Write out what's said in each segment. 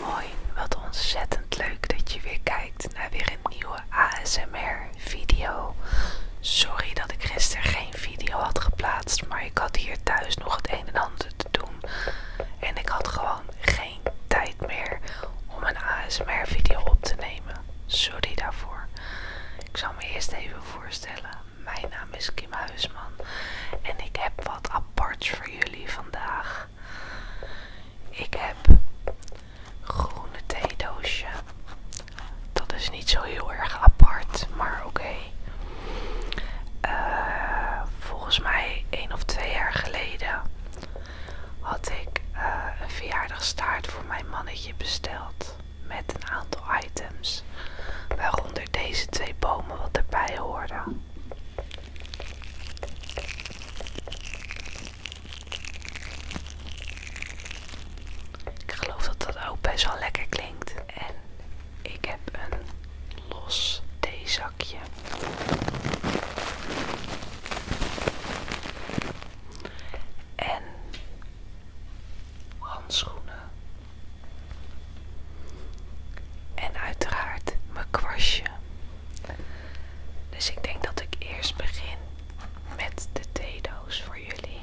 Hoi, wat ontzettend leuk dat je weer kijkt naar weer een nieuwe ASMR-video. Sorry dat ik gisteren geen video had geplaatst, maar ik had hier thuis nog het een en ander te doen. En ik had gewoon geen tijd meer om een ASMR video op te nemen. Sorry daarvoor. Ik zal me eerst even voorstellen. Mijn naam is Kim Huisman en ik heb wat aparts voor jullie vandaag. Ik heb groene thee doosje. Dat is niet zo heel erg apart, maar oké. Eh, volgens mij één of twee jaar geleden had ik eh, een verjaardagstaart voor mijn mannetje besteld. Met een aantal items. Waaronder deze twee bomen wat erbij hoorden. Ik geloof dat dat ook best wel lekker klinkt. En ik heb een los theezakje en handschoenen. En uiteraard mijn kwastje. Dus ik denk dat ik eerst begin met de voor jullie.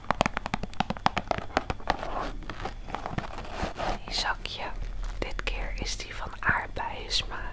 Die zakje, dit keer is die van aardbeien smaak.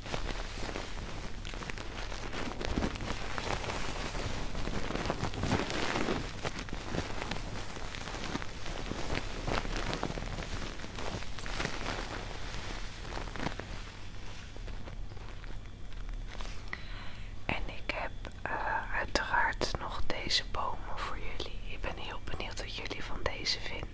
En ik heb eh, uiteraard nog deze bomen voor jullie. Ik ben heel benieuwd wat jullie van deze vinden.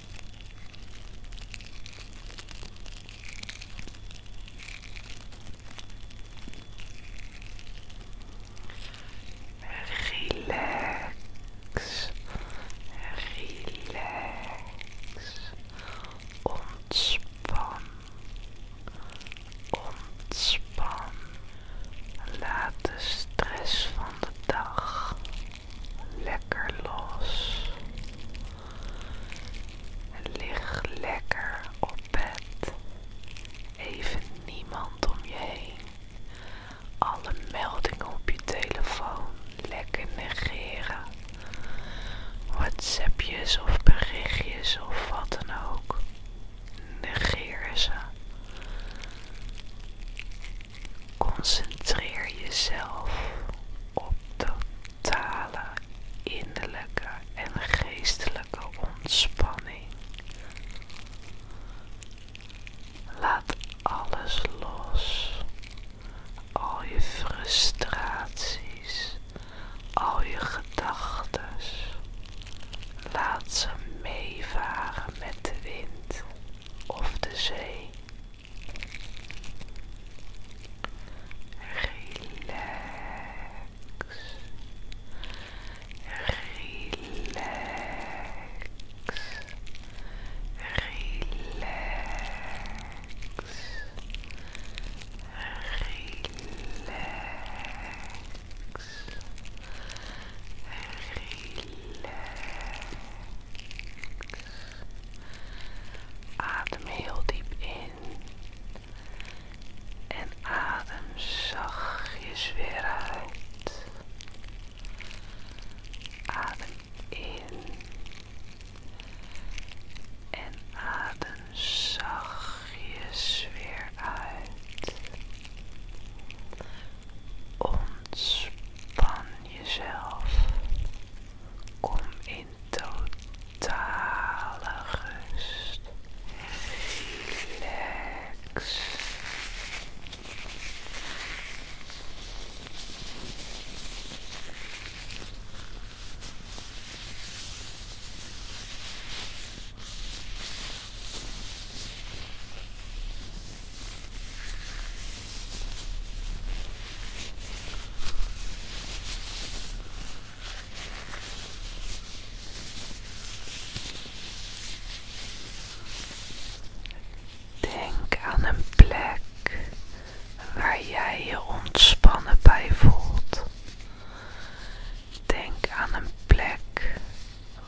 Relax, relax, ontspan, ontspan. Laat de stress van de dag lekker los. En lig lekker op bed. Even niemand om je heen. Alle meldingen op je telefoon lekker negeren. WhatsAppjes of berichtjes of wat dan ook. Negeer ze. Concentreer jezelf op de totale innerlijke en geestelijke ontspanning. Laat alles los. Al je frustraties, al je gedachten. Laat ze meevaren met de wind of de zee. Relax. Relax. Relax. Relax. Relax. Adem heel diep in. En adem zachtjes weer uit. Adem in. En adem zachtjes weer uit. Ontspan jezelf. Kom in totale rust. Relax. Denk aan een plek waar jij je ontspannen bij voelt. Denk aan een plek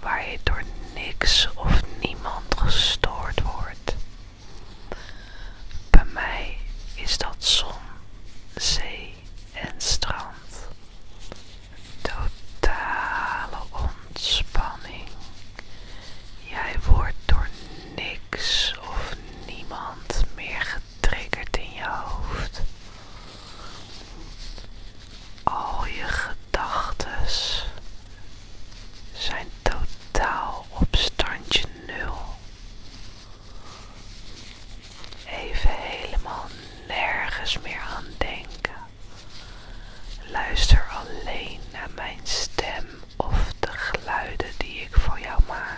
waar je door niks of niemand gestoord wordt. Bij mij is dat zon, zee en strand. Totale ontspanning. Jij wordt door niks of niemand meer getriggerd in je hoofd. Al je gedachten zijn totaal op standje nul. Even helemaal nergens meer aan denken. Luister alleen naar mijn stem of de geluiden die ik voor jou maak.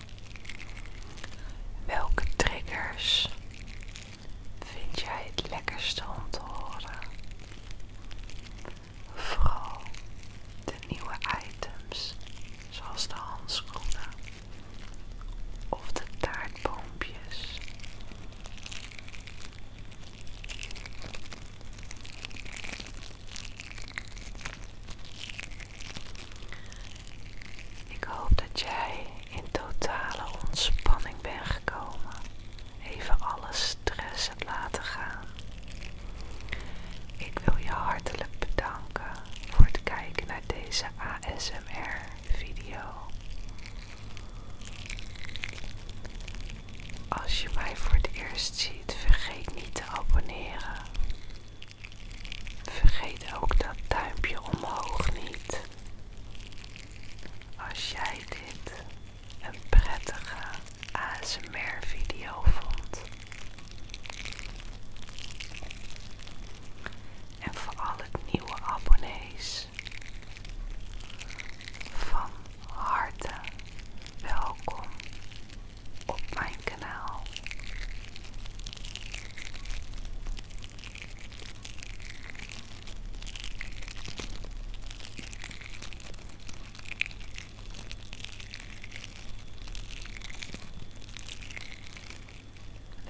Welke triggers vind jij het lekkerst om te horen? Vooral de nieuwe items, zoals de handschoenen of de taartboompjes. Ik hoop dat jij in totale ontspanning bent gekomen. Even alle stress hebt laten gaan. Ik wil je hartelijk bedanken voor het kijken naar deze ASMR-video. Als je mij voor het eerst ziet, vergeet niet te abonneren. Vergeet ook dat duimpje omhoog niet. Als jij dit een prettige ASMR video vond. En voor alle nieuwe abonnees van harte welkom op mijn kanaal.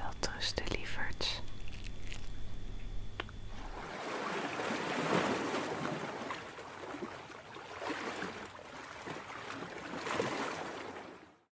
Welterusten lieverds.